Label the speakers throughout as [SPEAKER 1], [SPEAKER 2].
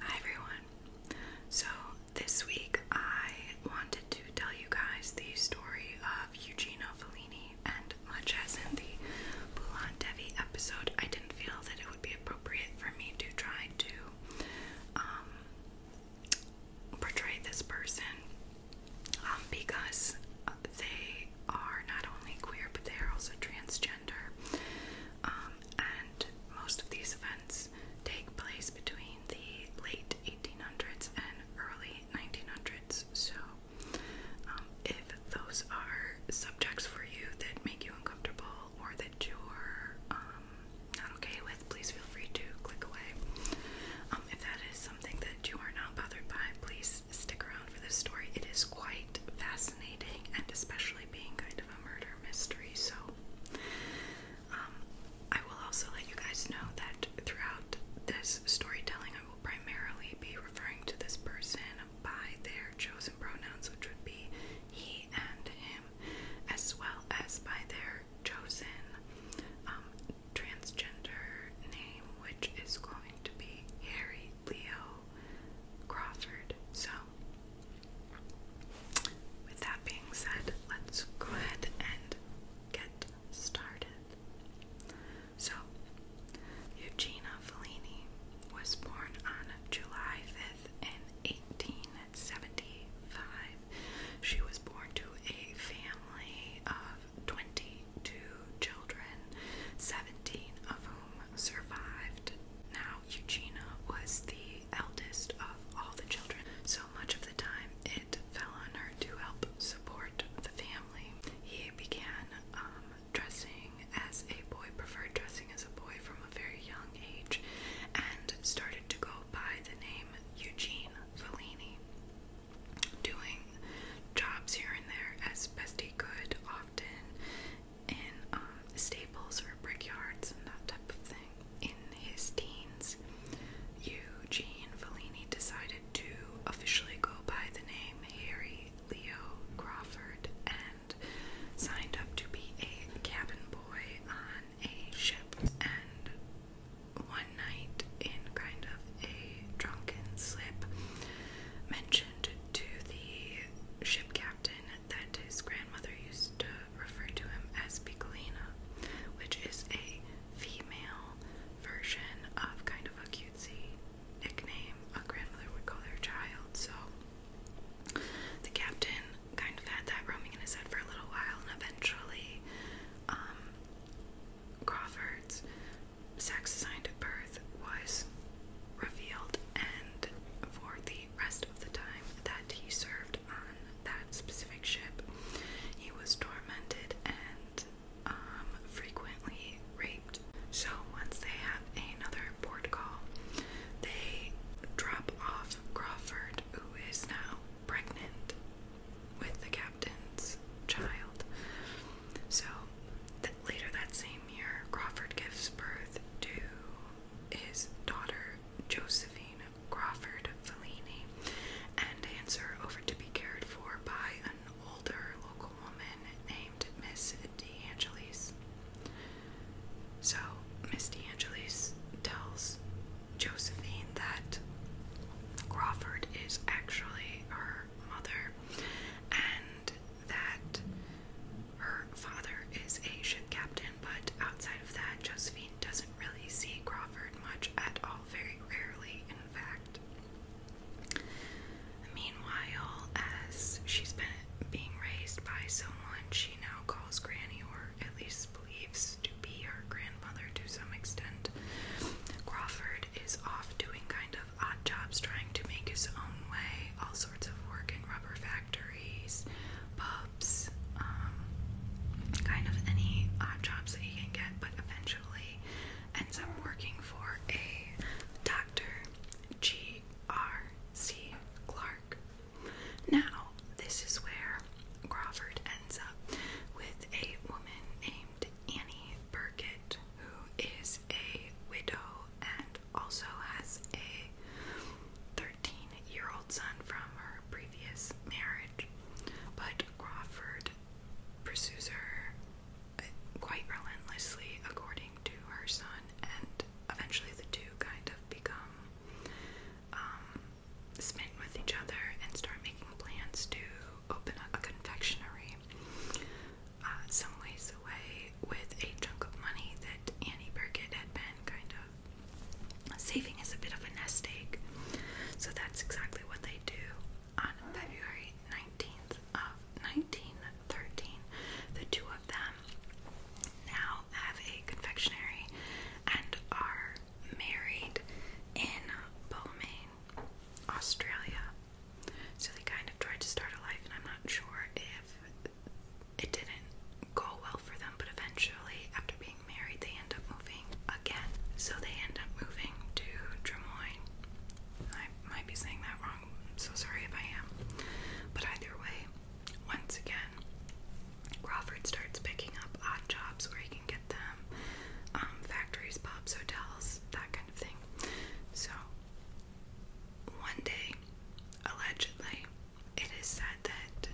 [SPEAKER 1] Hi everyone. So this week I wanted to tell you guys the story of Eugenio Fellini and much as in the Boulon Devi episode, I didn't feel that it would be appropriate for me to try to um, portray this person um, because they are not only queer but they are also transgender. Um, and most of these events take place between the late 1800s and early 1900s. So, um, if those are subjects for you that make you uncomfortable or that you're um, not okay with, please feel free to click away. Um, if that is something that you are not bothered by, please stick around for this story. It is quite fascinating, and especially being kind of a murder mystery. So, um, I will also let you guys know that throughout this storytelling, I will primarily be referring to this person by their chosen pronouns, which would be he and him, as well as by their chosen um, transgender name, which is going to be Harry Leo Crawford. So, with that being said, let's go ahead and get started. So, Eugenia Fellini was born on July 5th in 1875. She was born to a family of 22 children, 17 of whom survived. Now, Eugenia was the eldest of all the children, so much of the time it fell on her to help support the family. He began um, dressing as a boy, preferred dressing as a boy from a very young age, and started to go by the name Eugene Fellini, doing jobs here and there as best he could, often in um, Staples or brickyards and that type of thing. In his teens, Eugene Fellini decided to officially go by the name Harry Leo Crawford and signed up to be a cabin boy on a ship. And one night, in kind of a drunken slip, mentioned to the ship captain at that his grandmother used to refer to him as Piccolina, which is a female version of kind of a cutesy nickname a grandmother would call their child. So the captain kind of had that roaming in his head for a little while, and eventually, um, Crawford's sex assigned at birth was revealed, and for the rest of the time that he served on that specific ship, he was tormented and um, frequently raped. So once they have another board call, they drop off Crawford, who is now pregnant with the captain's child. So later that same year, Crawford gives birth to his daughter Josephine Crawford Fellini and hands over to be cared for by an older local woman named Miss DeAngelis. So, Miss DeAngelis tells Josephine that Crawford is actually her mother and that her father is a ship captain, but outside of that, Josephine doesn't really see Crawford much at all, very rarely, in fact. Meanwhile, as she's been being raised by someone she now calls Granny, or at least believes to be her grandmother to some extent, Crawford is off doing kind of odd jobs trying to make his own way, all sorts of work in rubber factories, pubs, um, kind of any odd jobs that he can get, but eventually ends up working for a doctor, G.R.C. Clark. Now, this is where Crawford ends up with a woman named Annie Burkett, who is a widow and also has a 13 year old son from her previous marriage, but Crawford pursues her uh, quite relentlessly, according to her son, and eventually the two kind of become um, smitten with each other and start making plans to open up a confectionery uh, some ways away with a chunk of money that Annie Burkett had been kind of saving as a bit of a nest egg. So that's exactly what they do. On February 19th of 1913, the two of them now have a confectionery and are married in Beaumain, Australia. So they kind of tried to start a life, and I'm not sure if it didn't go well for them, but eventually, after being married, they end up moving again. So they end up moving to Drummoyne. I might be saying that wrong, I'm so sorry if I am. But either way, once again, Crawford starts picking up odd jobs where he can get them um, factories, pubs, hotels, that kind of thing. So one day, allegedly, it is said that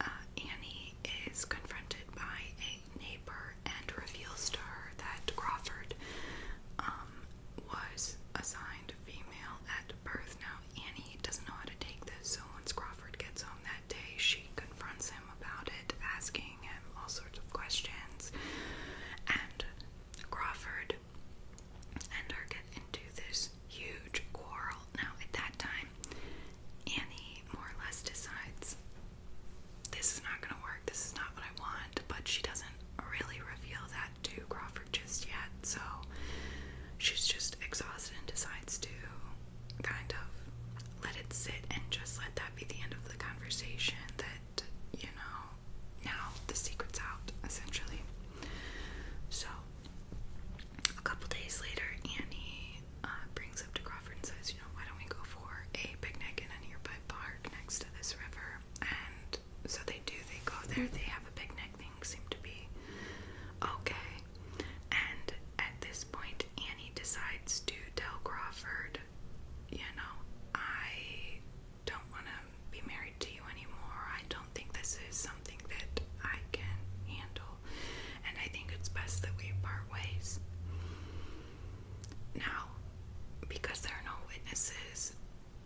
[SPEAKER 1] uh, Annie is confronted by a neighbor and reveals to her that Crawford um, was assigned female at birth. Now, Annie doesn't know how to take this, so once Crawford gets home that day, she confronts him about it, asking him all sorts of questions. And Crawford and are getting into this huge quarrel. Now, at that time, Annie more or less decides this is not going to work, this is not what I want, but she doesn't really reveal that to Crawford just yet, so she's just exhausted and decides to kind of let it sit and just let that be the end of the conversation. That you know, now the secret's out essentially. So, a couple days later, Annie uh, brings up to Crawford and says, You know, why don't we go for a picnic in a nearby park next to this river? And so they do, they go there, they have a picnic, things seem to be okay. And at this point, Annie decides to tell Crawford, You know, I don't want to be married to you anymore. I don't think this is something that I can handle. And I think it's best that we part ways. Now, because there are no witnesses,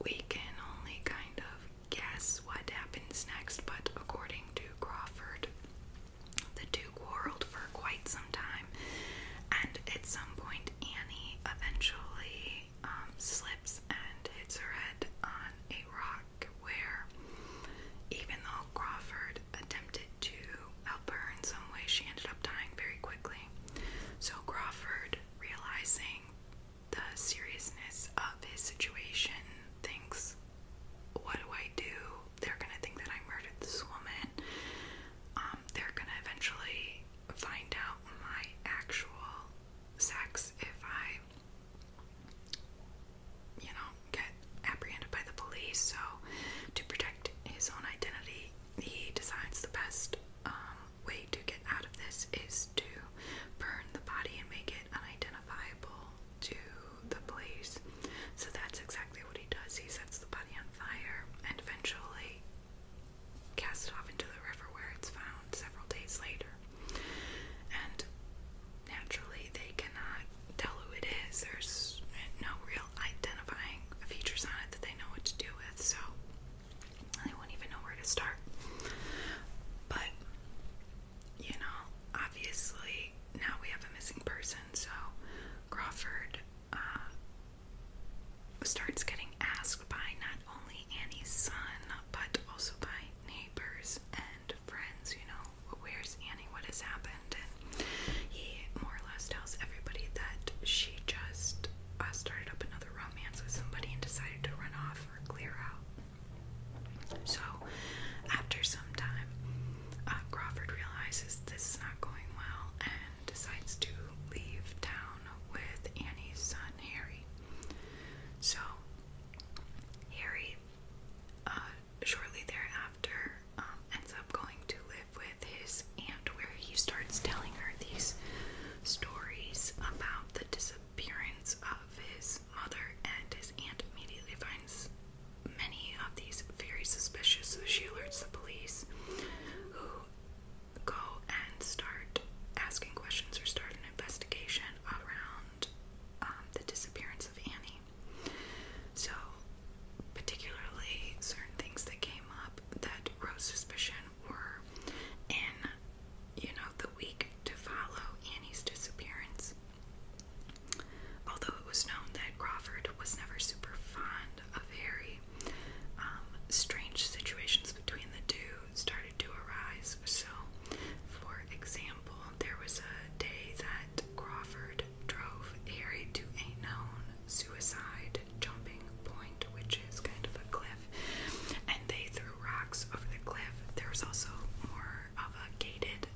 [SPEAKER 1] we can only kind of guess what happens next, but according to Crawford, the two quarreled for quite some time, and at some point, Annie eventually um, slips and hits her head on a rock, where even though Crawford attempted to help her in some way, she ended up dying very quickly. So Crawford, realizing the seriousness of his situation, thinks, What do I do? They're gonna think that I murdered this woman. Um, they're gonna eventually find out my actual sex if I, you know, get apprehended by the police. So, to protect his own identity, he decides the best um, way to get out of this is to burn the body and make it unidentifiable to the police. So, that's exactly what he does. He sets the body on fire and eventually cast it off into the river where it's found several days later. And naturally, they cannot tell who it is. There's no real identifying features on it that they know what to do with, so they won't even know where to start. But, you know, obviously, now we have a missing person, so Crawford uh, starts getting asked by not only Annie's son, but also by neighbors and friends, you know, where's Annie, what has happened? And he more or less tells everybody that she just uh, started up another romance with somebody and decided to run off or clear out. So, after some time, uh, Crawford realizes this is not going well and decides to leave town with Annie's son Harry. So, Harry, uh, shortly thereafter, um, ends up going to live with his aunt, where he starts telling her these stories about the disappearance of his mother, and his aunt immediately finds many of these very suspicious, so she alerts the police, who go and start asking questions or start an investigation around um, the disappearance of Annie. So, particularly certain things that came up that rose suspicion were in, you know, the week to follow Annie's disappearance. Although it was known that Crawford was never super fond a very um, strange situations between the two started to arise. So, for example, there was a day that Crawford drove Harry to a known suicide jumping point, which is kind of a cliff, and they threw rocks over the cliff. There was also more of a gated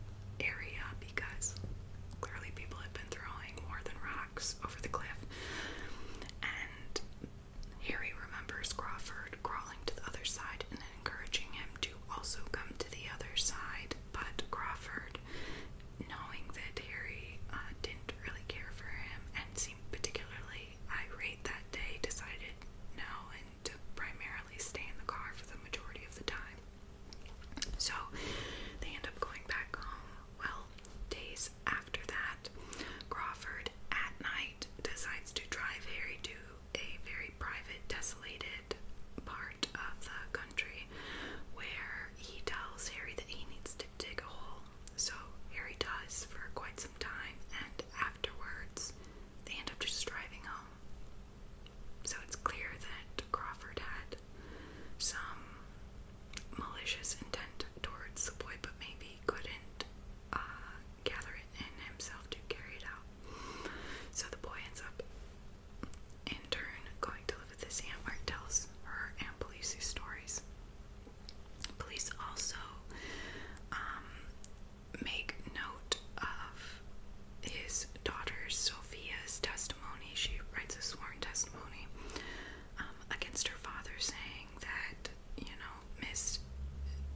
[SPEAKER 1] area because clearly people had been throwing more than rocks over the cliff. And Harry remembers Crawford crawling to the other side and encouraging him to also come to the other side. But Crawford, knowing that Harry uh, didn't really care for him and seemed particularly irate that day, decided no and to primarily stay in the car for the majority of the time. So they end up going back home. Well, days years after that, Crawford at night decides to drive Harry to a very private, desolated part of the country where he tells Harry that he needs to dig a hole. So Harry does for quite some time, and afterwards they end up just driving home. So it's clear that Crawford had some malicious intent towards the boy, but maybe couldn't uh, gather it in himself to carry it out. So the boy ends up, in turn, going to live with his aunt, where it tells her and police these stories. Police also um, make note of his daughter Sophia's testimony. She writes a sworn testimony um, against her father, saying that you know Miss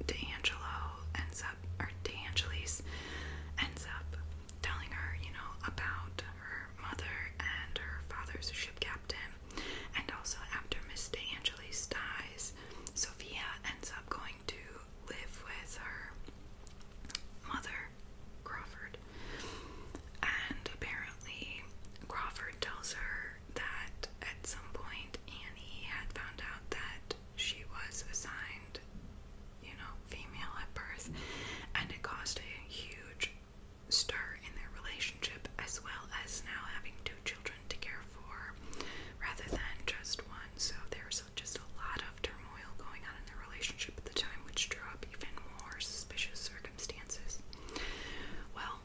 [SPEAKER 1] D'Angelo ends up or D'Angelis ends up telling her you know about her mother and her father's ship captain, and also after Miss D'Angelis dies, Sophia ends up going to live with her mother Crawford and apparently, Crawford tells her that at some point Annie had found out that she was assigned, you know, female at birth, and it caused a huge stir in their relationship, as well as now having two children to care for rather than just one. So there's just a lot of turmoil going on in their relationship at the time, which drew even more suspicious circumstances. Well,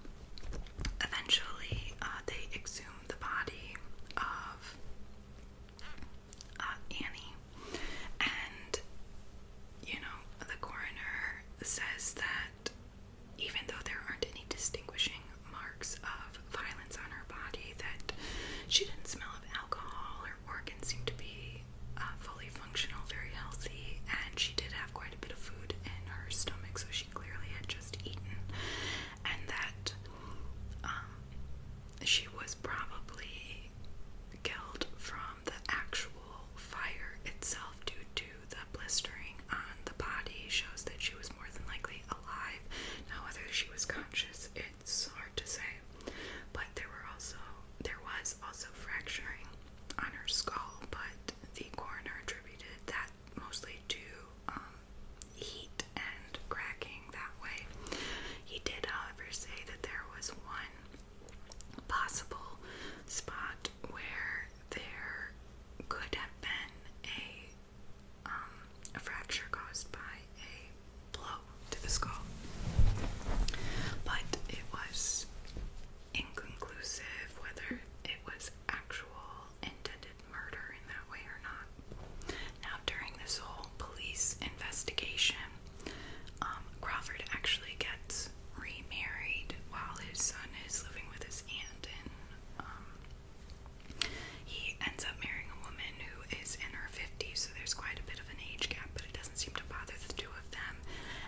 [SPEAKER 1] eventually uh, they exhumed the body of uh, Annie, and you know, the coroner says that even though there aren't any distinguishing marks of violence on her body, that she didn't smell of alcohol, her organs seemed to be uh, fully functional, very healthy, and she did have quite a bit of food in her stomach, so she clearly had just eaten, and that um, she was probably killed from the actual fire itself due to the blistering on the body. Shows that she was more than likely alive. Now, whether she was conscious, it's hard to say. But there were also there was also fracturing on her skull, but the coroner attributed that mostly to um, heat and cracking that way. He did, however, say that there was one possible spot where there could have been a, um, a fracture caused by a blow to the skull, but it was inconclusive whether it was actual intended murder in that way or not. Now, during this whole police investigation, um, Crawford actually gets remarried while his son is living with his aunt, and um, he ends up marrying a woman who is in her 50s, so there's quite a bit of an age gap, but it doesn't seem to bother the two of them.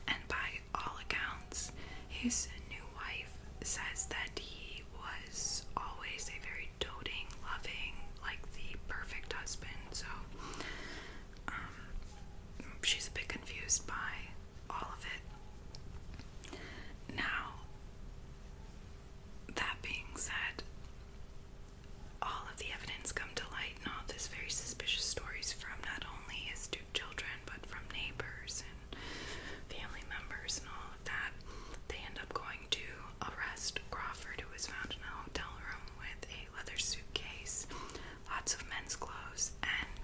[SPEAKER 1] And by all accounts, his new wife says that he was always a very doting, loving, like the perfect husband. So um, she's a bit confused by all of it. Now, that being said, all of the evidence come to light in all this very suspicious stories from not only his two children but from neighbors and family members and all of that. They end up going to arrest Crawford, who was found in a hotel room with a leather suitcase, lots of men's clothes, and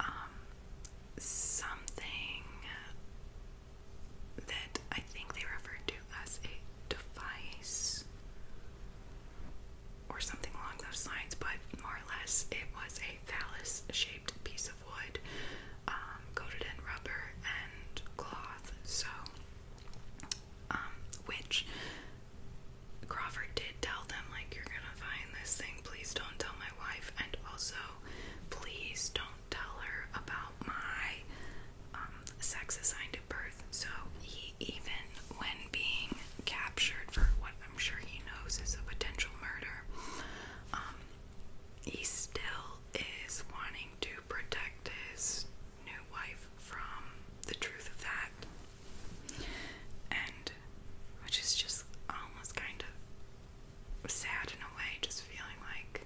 [SPEAKER 1] um, something that I think they referred to as a device or something along those lines, but more or less it was a phallus shaped piece of wood um, coated in rubber and cloth. So, um, which Crawford did tell them, like, you're gonna find this thing, please don't tell my wife, and also, please don't tell her about my um, sex assigned at birth. So, he he, even when being captured for what I'm sure he knows is a potential murder, um, he still is wanting to protect his new wife from the truth of that. And which is just almost kind of sad in a way, just feeling like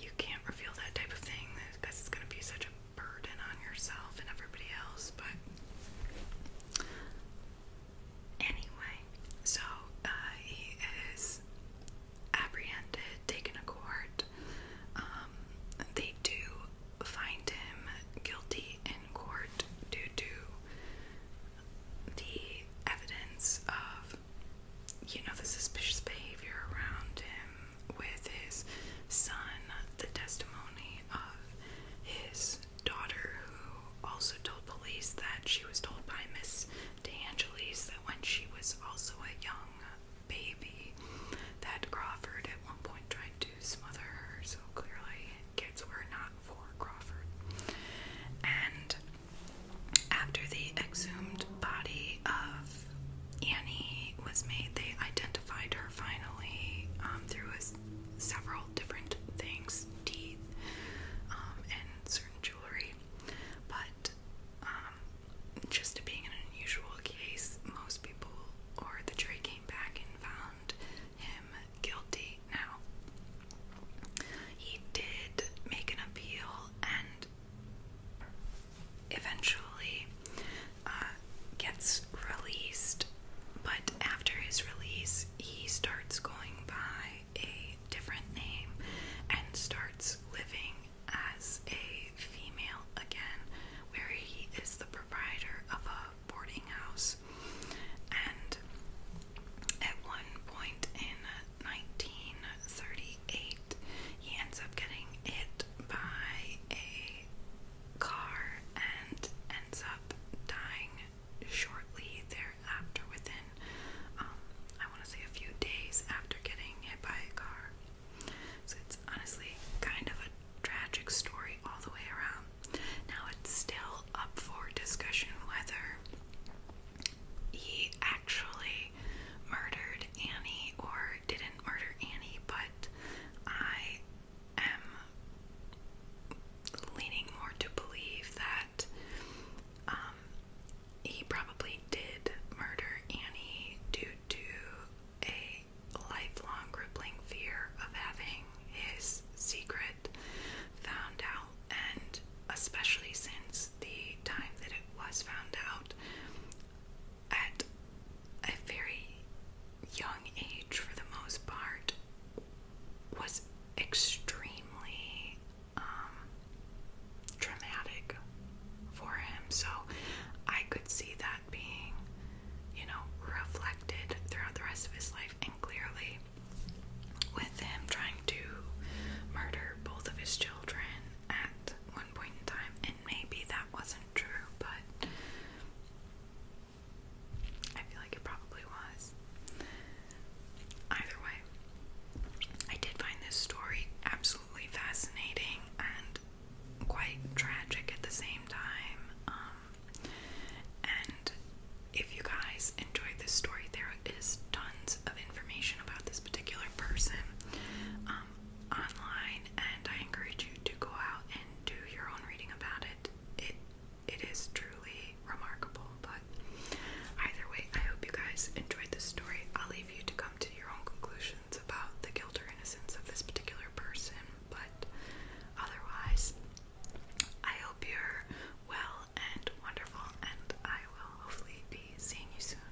[SPEAKER 1] you can't reveal that type of thing because it's going to be such a burden on yourself and everybody else, but anyway, so uh, he is apprehended, taken to court. Um, they do find him guilty in court due to the evidence of, you know, the suspicious behavior around him with his son, the testimony of his daughter, who also told police that she was told by Miss De Angelis that when she was also a young baby, that Crawford at one point tried to smother her. So clearly, kids were not for Crawford. And after the exhumed body of Annie was made, they identified her finally um, through a, several different things teeth um, and certain jewelry. But um, just being an unusual case, most people or the jury came back and found him guilty. Now, he did make an appeal and eventually uh, gets released, but after his release, he starts going by a different name and starts living as a female again, where he is the proprietor of a boarding house. And at one point in 1938, he ends up getting hit by a car and ends up dying shortly thereafter within um, I want to say a few days after getting hit by a car. So it's honestly kind of a tragic story all the way around. Now it's still up for discussion whether he actually murdered Annie or did not murder Annie, but I am leaning more to believe that um, he probably did murder Annie due to a lifelong crippling fear of having his secret found out, and especially since the time that it was found out, at a very young age, for the most part, was extremely um, traumatic for him. So I could see that being, you know, reflected throughout the rest of his life, and clearly with him trying to murder both of his children at one point in time, and maybe that wasn't true, but I feel like it probably was. Either way, I did find this story absolutely fascinating and quite tragic at the same time. Um, and if you guys enjoyed this story, there is tons of information about this particular person. Um, online and I encourage you to go out and do your own reading about it. It it is truly remarkable, but either way, I hope you guys enjoyed the story. I'll leave you to come to your own conclusions about the guilt or innocence of this particular person, but otherwise, I hope you're well and wonderful, and I will hopefully be seeing you soon.